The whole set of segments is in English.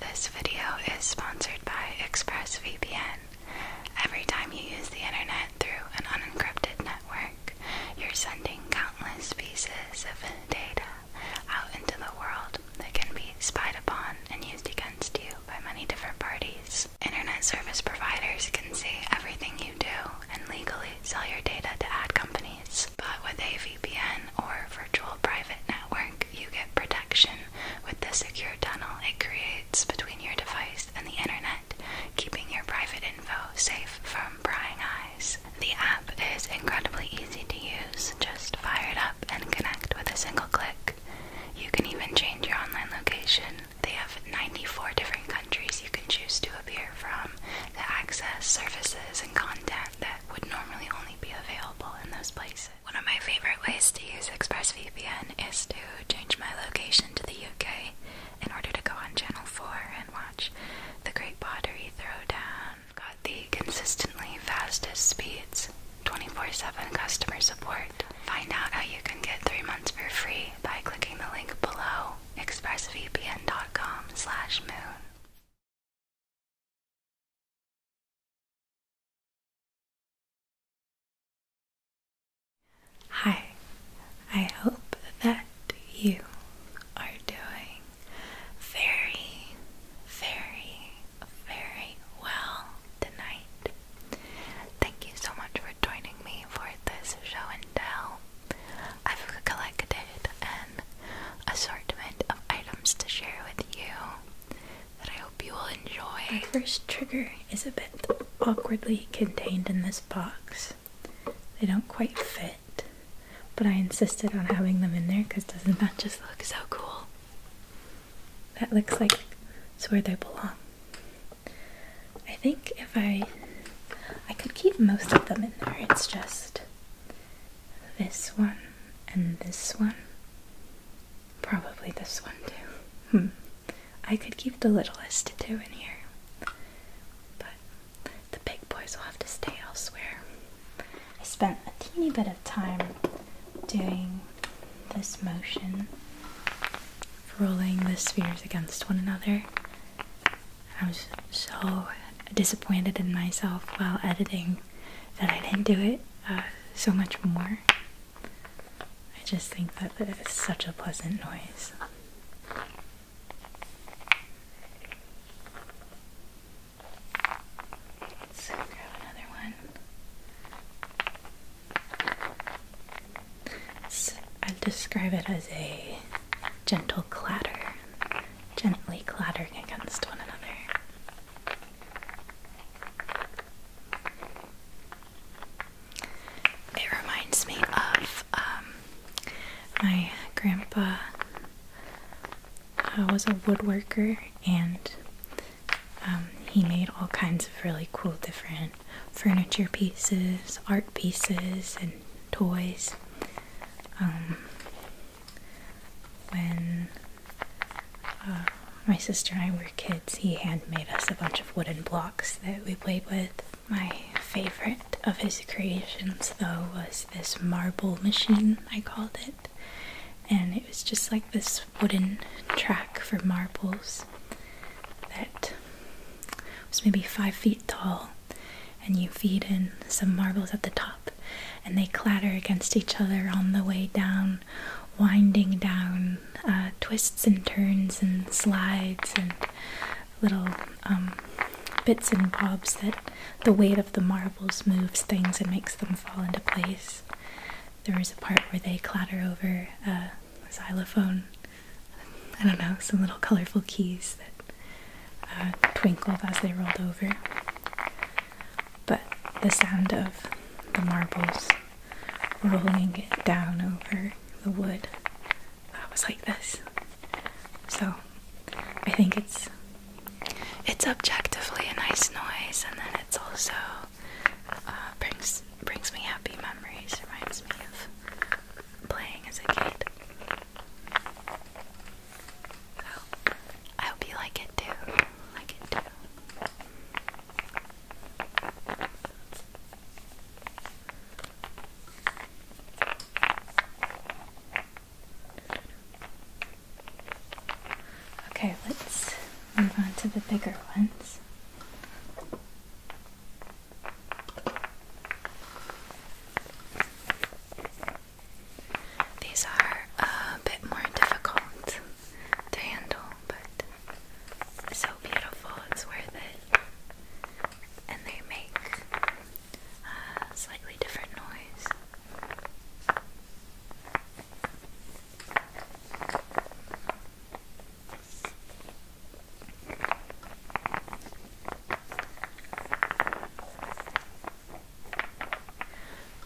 This video is sponsored by ExpressVPN. Every time you use the internet through an unencrypted network, you're sending countless pieces of data out into the world that can be spied upon and used against you by many different parties. Internet service providers can see everything you do and legally sell your data to ad companies. But with a VPN or virtual private network, you get protection with the secure tunnel it creates between your device and the internet, keeping your private info safe from prying eyes. The app is incredibly easy to use. Just fire it up and connect with a single click. You can even change your online location. They have 94 different countries you can choose to appear from to access services and content that would normally only be available in those places. One of my favorite ways to use ExpressVPN is to change my location to the UK in order to go on Channel 4 and watch the Great Pottery Throwdown. Got the consistently fastest speeds, 24 7 customer support. Find out how you can get three months for free by clicking the link below expressvpn.com slash moon. Hi, I hope that you are doing very, very, very well tonight. Thank you so much for joining me for this show and tell. I've collected an assortment of items to share with you that I hope you will enjoy. Our first trigger is a bit awkwardly contained in this box. They don't quite fit, but I insisted on having them in there because doesn't that just look so cool? That looks like it's where they belong. I think if I I could keep most of them in there, it's just this one and this one. Probably this one too. Hmm. I could keep the littlest two in here. But the big boys will have to stay elsewhere. I spent a teeny bit of time doing this motion, rolling the spheres against one another. I was so disappointed in myself while editing that I didn't do it uh, so much more. I just think that that is such a pleasant noise. So grab another one. i will describe it as a gentle clatter gently clattering against one another. It reminds me of um, my grandpa I uh, was a woodworker and um, he made all kinds of really cool different furniture pieces, art pieces, and toys. Um, when uh, my sister and I were kids, he handmade us a bunch of wooden blocks that we played with. My favorite of his creations, though, was this marble machine, I called it. And it was just like this wooden track for marbles that was maybe five feet tall. And you feed in some marbles at the top and they clatter against each other on the way down, winding down uh, twists and turns and slides and little um, bits and bobs that the weight of the marbles moves things and makes them fall into place. There is a part where they clatter over a xylophone. I don't know, some little colorful keys that uh, twinkled as they rolled over. But the sound of the marbles rolling down over the wood that was like this. So I think it's it's objectively a nice noise, and then it's also uh, brings brings me happy memories. Reminds me of playing as a kid. I hope you like it too. Like it too. Okay, let's move on to the bigger ones. These are a bit more difficult to handle, but so beautiful, it's worth it. And they make a uh, slightly different noise.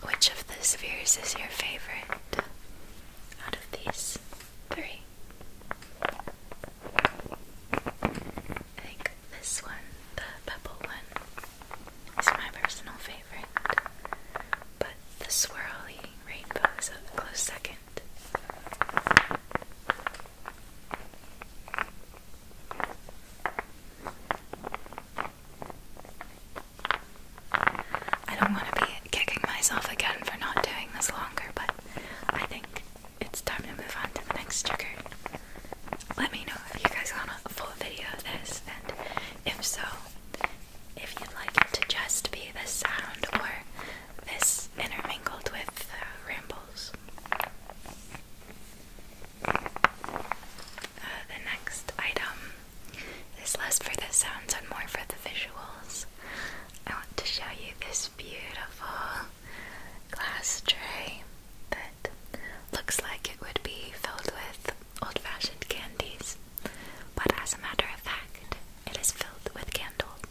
Which of the spheres is your favorite out of these three? I think this one, the pebble one, is my personal favorite, but the swirly rainbow is a close second. I don't want to be kicking myself again for not doing this longer, but I think it's time to move on to the next trigger. Let me know if you guys want a full video of this, and if so, if you'd like it to just be the sound or this intermingled with uh, rambles. Uh, the next item is less for the sounds and more for the visuals. I want to show you this beautiful glass tray that looks like it would be filled with old fashioned candies, but as a matter of fact, it is filled with candles.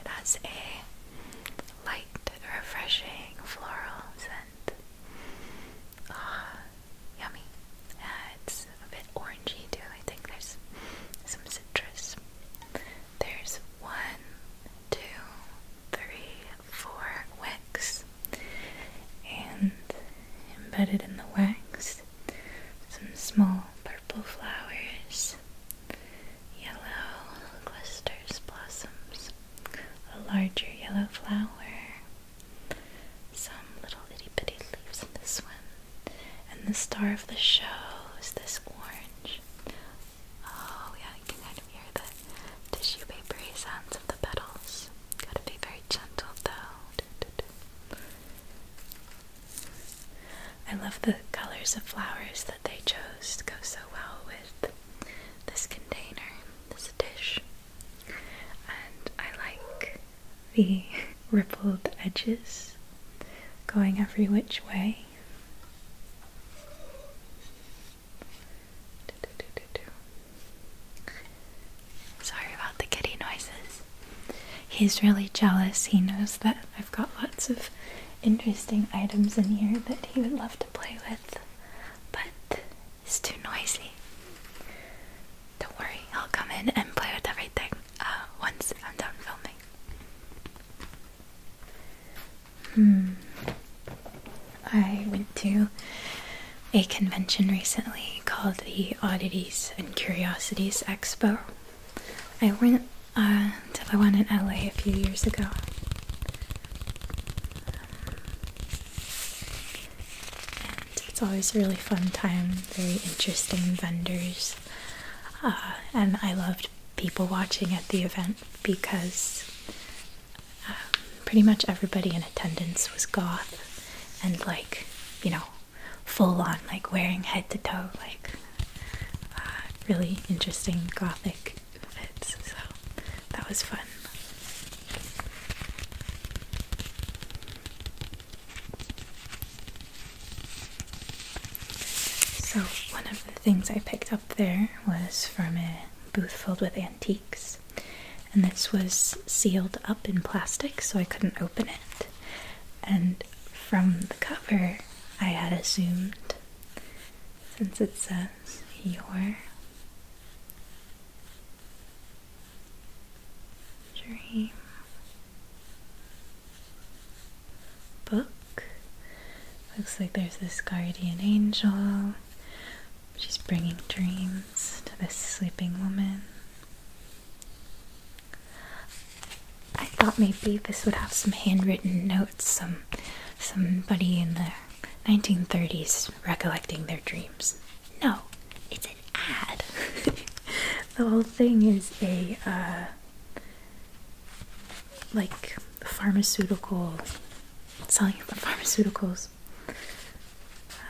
It has a light, refreshing floral scent. Ah, yummy. Uh, it's a bit orangey too. I think there's some citrus. There's one, two, three, four wicks, and embedded in the wax, some small purple flowers yellow clusters, blossoms, a larger yellow flower, some little itty bitty leaves in this one, and the star of the show is this orange. Oh, yeah, you can hear the tissue papery sounds of the petals. Gotta be very gentle though. I love the colors of flowers that they chose to go so well with this container, this dish. And I like the rippled edges going every which way. Sorry about the kitty noises. He's really jealous. He knows that I've got lots of interesting items in here that he would love to play with, but it's too noisy. Don't worry, I'll come in and play with everything uh, once I'm done filming. Hmm. I went to a convention recently called the Oddities and Curiosities Expo, I went uh, to the one in LA a few years ago. And it's always a really fun time, very interesting vendors. Uh, and I loved people watching at the event because um, pretty much everybody in attendance was goth and like, you know, full on, like wearing head to toe, like uh, really interesting gothic fits, so that was fun. So, one of the things I picked up there was from a booth filled with antiques, and this was sealed up in plastic so I couldn't open it. And from the cover, I had assumed since it says your dream book. Looks like there's this guardian angel. She's bringing dreams to this sleeping woman. I thought maybe this would have some handwritten notes, some somebody in the 1930s recollecting their dreams. No, it's an ad. the whole thing is a uh, like pharmaceutical selling about pharmaceuticals.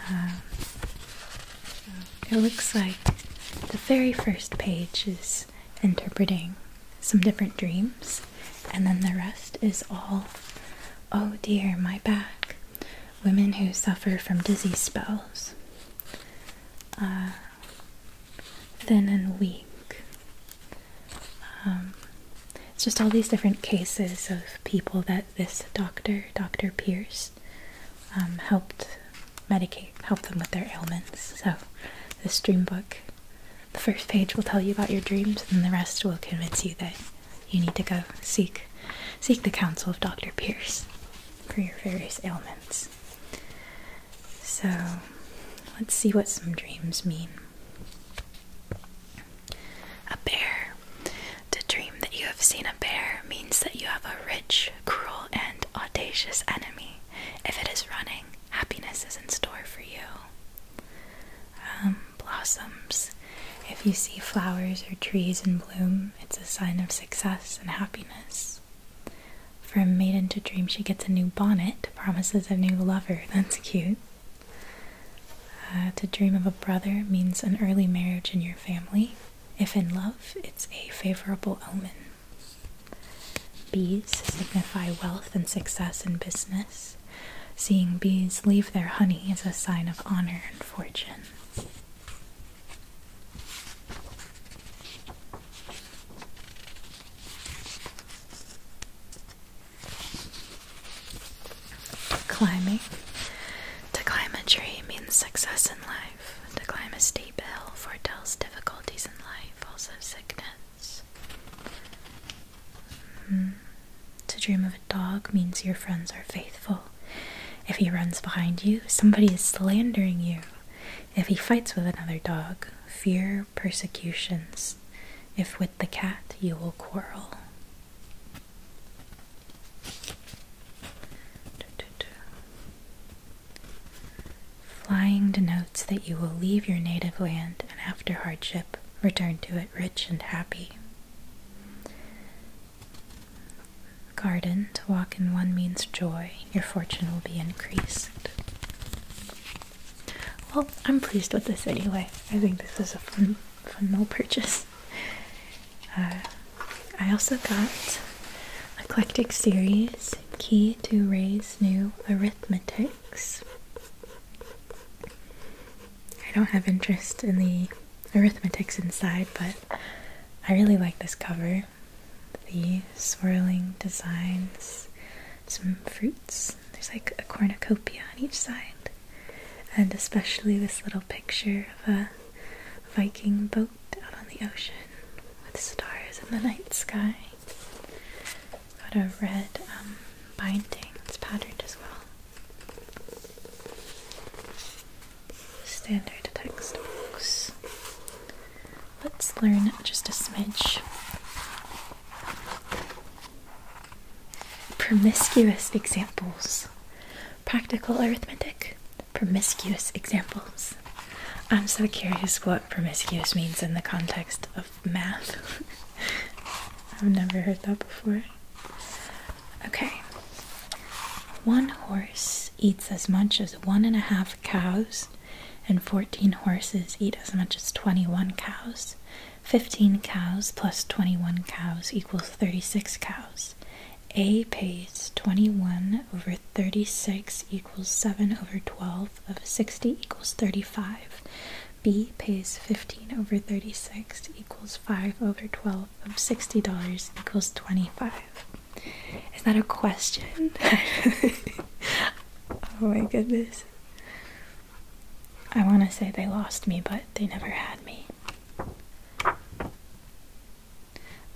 Um, it looks like the very first page is interpreting some different dreams, and then the rest is all, oh dear, my back, women who suffer from dizzy spells, uh, thin and weak. Um, it's just all these different cases of people that this doctor, Dr. Pierce, um, helped medicate, help them with their ailments. So, this dream book, the first page will tell you about your dreams, and the rest will convince you that you need to go seek seek the counsel of Dr. Pierce for your various ailments. So, let's see what some dreams mean. A bear. To dream that you have seen a bear means that you have a rich, cruel, and audacious enemy. If it is running, happiness is in store for you. Um, blossoms. If you see flowers or trees in bloom, it's a sign of success and happiness. For a maiden to dream, she gets a new bonnet, promises a new lover. That's cute. Uh, to dream of a brother means an early marriage in your family. If in love, it's a favorable omen. Bees signify wealth and success in business. Seeing bees leave their honey is a sign of honor and fortune. Climbing. To climb a tree means success in life. To climb a steep hill foretells difficulties in life, also sickness. Hmm. To dream of a dog means your friends are faithful. If he runs behind you, somebody is slandering you. If he fights with another dog, fear persecutions. If with the cat, you will quarrel. Flying denotes that you will leave your native land and, after hardship, return to it rich and happy. Garden, to walk in one means joy, your fortune will be increased. Well, I'm pleased with this anyway. I think this was a fun, fun little purchase. Uh, I also got Eclectic Series key to Ray's new arithmetics. I don't have interest in the arithmetics inside, but I really like this cover. The swirling designs, some fruits. There's like a cornucopia on each side, and especially this little picture of a Viking boat out on the ocean with stars in the night sky. Got a red um, binding, it's patterned as well. Standard textbooks. Let's learn just a smidge. Promiscuous examples. Practical arithmetic promiscuous examples. I'm so curious what promiscuous means in the context of math. I've never heard that before. Okay. One horse eats as much as one and a half cows, and 14 horses eat as much as 21 cows. 15 cows plus 21 cows equals 36 cows. A pays 21 over 36 equals 7 over 12 of 60 equals 35. B pays 15 over 36 equals 5 over 12 of $60 equals 25. Is that a question? oh my goodness. I want to say they lost me, but they never had me.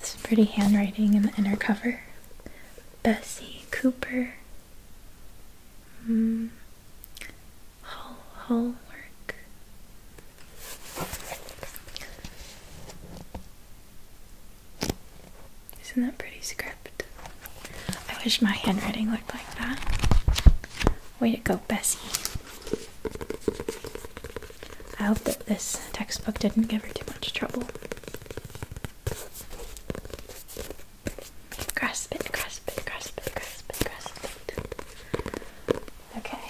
Some pretty handwriting in the inner cover. Bessie Cooper. Mm. Hall Isn't that pretty script? I wish my handwriting looked like that. Way to go, Bessie. I hope that this textbook didn't give her too much trouble. Grasp it, grasp it, grasp it, grasp it, grasp it. Okay.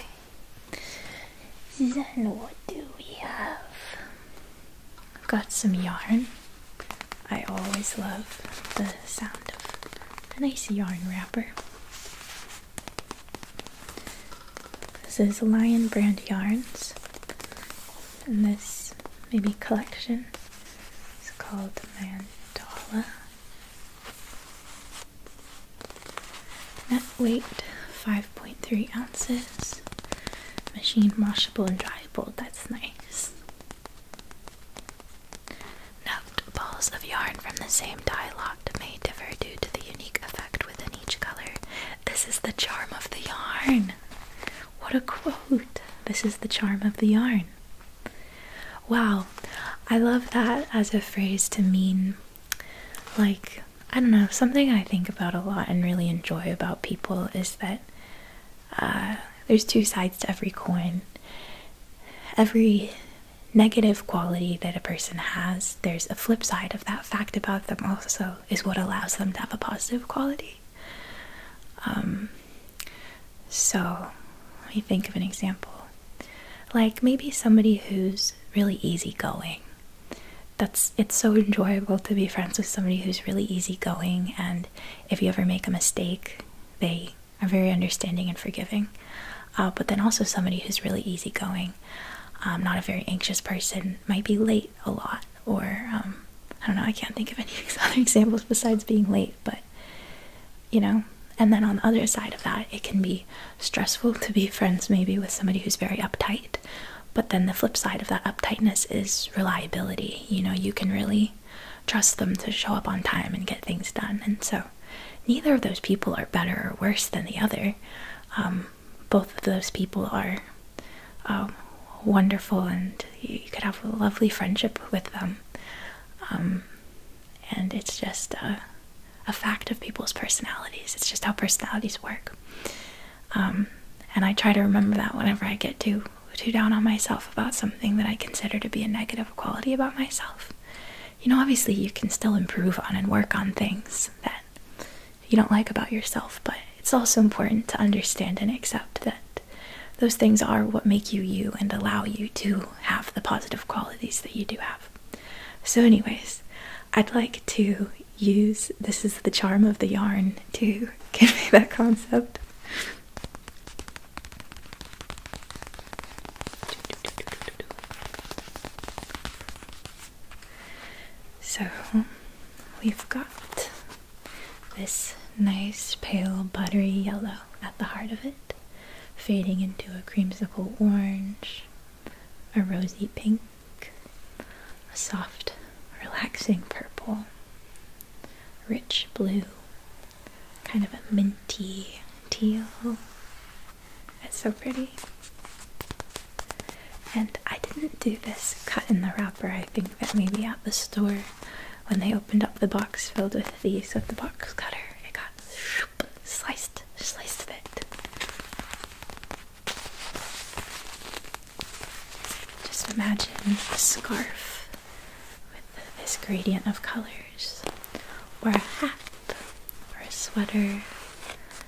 Then what do we have? I've got some yarn. I always love the sound of a nice yarn wrapper. This is Lion Brand Yarns, and this maybe collection is called Mandala. Net weight 5.3 ounces, machine washable and dryable. That's nice. Note balls of yarn from the same dye may differ due to the unique effect within each color. This is the charm of the yarn. What a quote! This is the charm of the yarn. Wow, I love that as a phrase to mean, like, I don't know, something I think about a lot and really enjoy about people is that uh, there's two sides to every coin. Every negative quality that a person has, there's a flip side of that fact about them, also, is what allows them to have a positive quality. Um, so, let me think of an example. Like maybe somebody who's really easygoing. That's it's so enjoyable to be friends with somebody who's really easygoing, and if you ever make a mistake, they are very understanding and forgiving. Uh, but then also somebody who's really easygoing I'm not a very anxious person, might be late a lot, or um, I don't know, I can't think of any other examples besides being late, but you know. And then on the other side of that, it can be stressful to be friends maybe with somebody who's very uptight, but then the flip side of that uptightness is reliability. You know, you can really trust them to show up on time and get things done, and so neither of those people are better or worse than the other. Um, both of those people are um, wonderful and you could have a lovely friendship with them. Um, and it's just a, fact of people's personalities. It's just how personalities work. Um, and I try to remember that whenever I get too, too down on myself about something that I consider to be a negative quality about myself you know, obviously you can still improve on and work on things that you don't like about yourself, but it's also important to understand and accept that those things are what make you you and allow you to have the positive qualities that you do have. So, anyways, I'd like to use this is the charm of the yarn to give me that concept. So we've got this nice pale buttery yellow at the heart of it, fading into a creamsicle orange, a rosy pink, a soft, relaxing purple, rich blue, kind of a minty teal, it's so pretty. And I didn't do this cut in the wrapper. I think that maybe at the store, when they opened up the box filled with these with the box cutter, it got sliced, sliced a bit. Just imagine a scarf with this gradient of colors, or a hat or a sweater,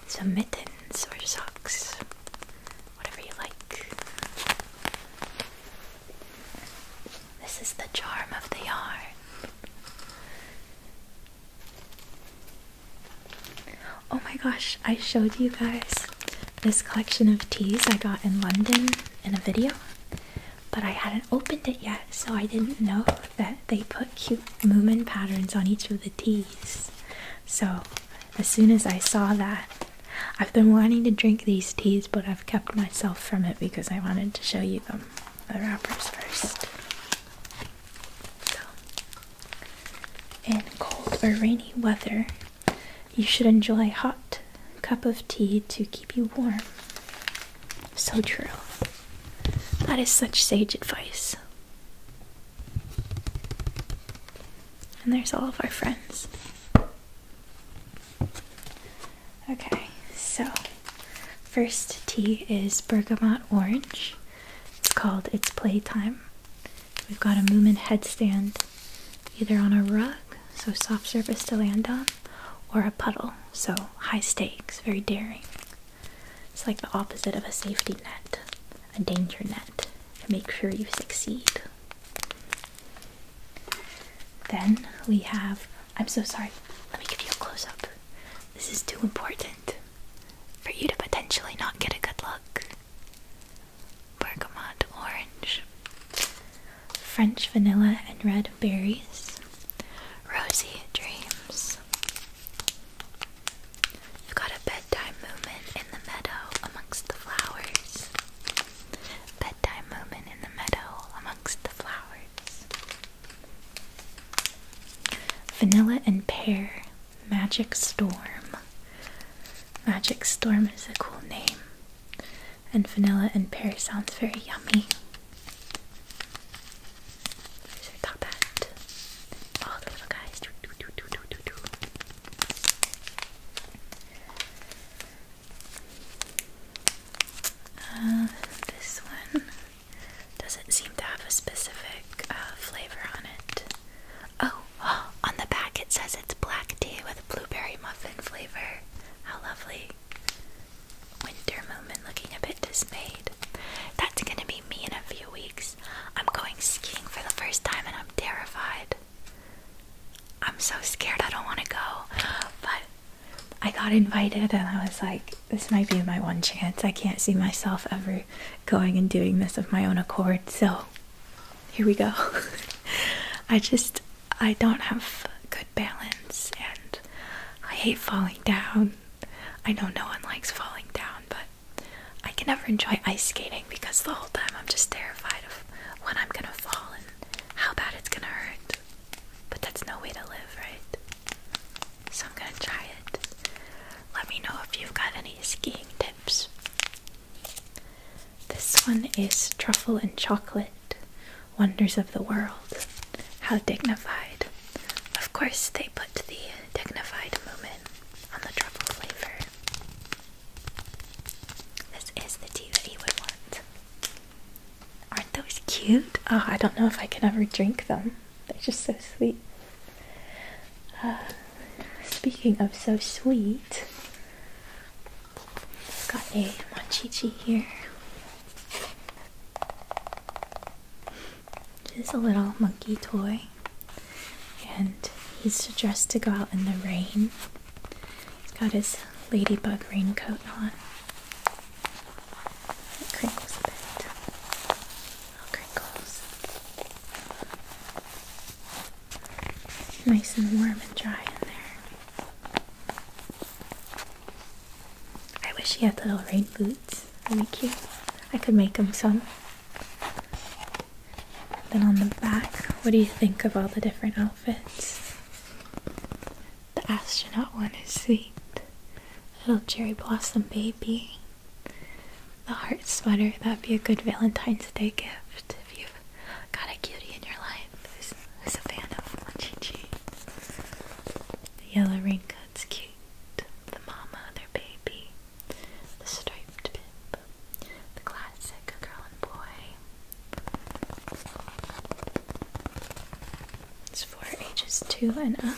some mittens or socks, whatever you like. This is the charm of the yarn. Oh my gosh, I showed you guys this collection of teas I got in London in a video, but I hadn't opened it yet, so I didn't know that they put cute movement patterns on each of the teas. So as soon as I saw that, I've been wanting to drink these teas, but I've kept myself from it because I wanted to show you them, the wrappers first. So, in cold or rainy weather, you should enjoy a hot cup of tea to keep you warm. So true. That is such sage advice. And there's all of our friends. Okay, so first tea is bergamot orange. It's called It's Playtime. We've got a movement headstand either on a rug, so soft surface to land on, or a puddle, so high stakes, very daring. It's like the opposite of a safety net, a danger net to make sure you succeed. Then we have. I'm so sorry. Let me give you a close up. This is too important for you to potentially not get a good look. Bergamot orange, French vanilla, and red berries. Rosy dreams. got a bedtime moment in the meadow amongst the flowers. Bedtime moment in the meadow amongst the flowers. Vanilla and pear. Magic Storm. Magic Storm is a cool name. And vanilla and pear sounds very yummy. So I that. All oh, the little guys. Uh, this one doesn't seem to have a specific uh, flavor on it. oh, on the back it says it's black tea with blueberry muffin flavor. How lovely. Winter moment, looking a bit dismayed. That's gonna be me in a few weeks. I'm going skiing for the first time and I'm terrified. I'm so scared I don't want to go. But I got invited and I was like, this might be my one chance. I can't see myself ever going and doing this of my own accord. So here we go. I just, I don't have good balance and I hate falling down. I know no one likes falling down, but I can never enjoy ice skating because the whole time I'm just terrified of when I'm gonna fall and how bad it's gonna hurt. But that's no way to live, right? So I'm gonna try it. Let me know if you've got any skiing tips. This one is truffle and chocolate wonders of the world. How dignified. Of course, they put the dignified moment on the trouble flavor. This is the tea that you would want. Aren't those cute? Oh, I don't know if I can ever drink them. They're just so sweet. Uh, speaking of so sweet, got a mochichi here just a little monkey toy, and he's dressed to go out in the rain. He's got his ladybug raincoat on. It crinkles a bit. Little crinkles. Nice and warm and dry in there. I wish he had little rain boots. Really cute. I could make him some. Then on the back, what do you think of all the different outfits? The astronaut one is sweet. Little cherry blossom baby. The heart sweater, that'd be a good Valentine's Day gift if you've got a cutie in your life life is, a fan of Munchie The yellow raincoat's cute, the mama, their baby, the striped bib, the classic girl and boy. It's for ages two and up.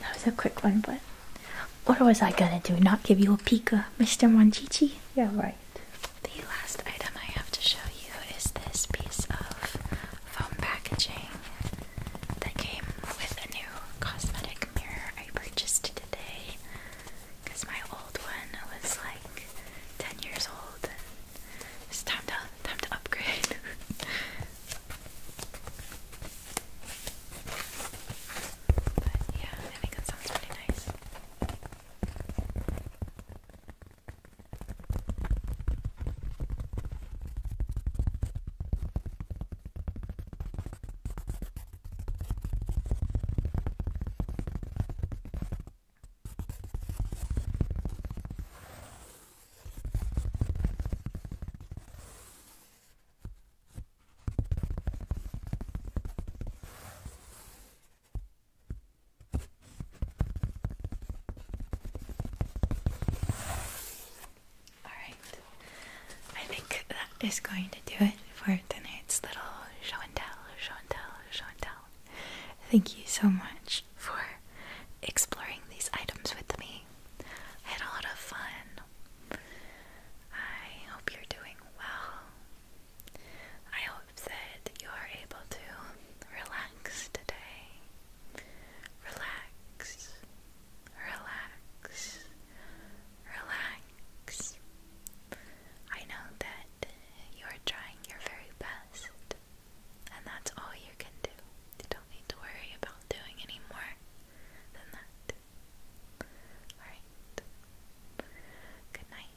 That was a quick one, but what was I gonna do? Not give you a peek, uh, Mr. Monchichi? Yeah, right. The last item I have to show you is this piece of foam packaging that came with a new cosmetic mirror I purchased today because my old one was like 10 years old it's time to time to upgrade. but yeah, I think that sounds pretty nice. Alright, I think that is going to do it for tonight's little show and tell, show and tell, Chantal. Thank you so much for exploring these items with me. I had a lot of fun. I hope you're doing well. I hope that you are able to relax today. Relax. Relax. Relax. I know that you're trying your very best, and that's all you can do. You don't need to worry about doing any more than that. Alright. Good night.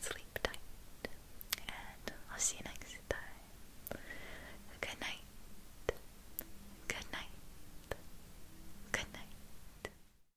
Sleep tight. And I'll see you next time. Good night. Good night. Good night.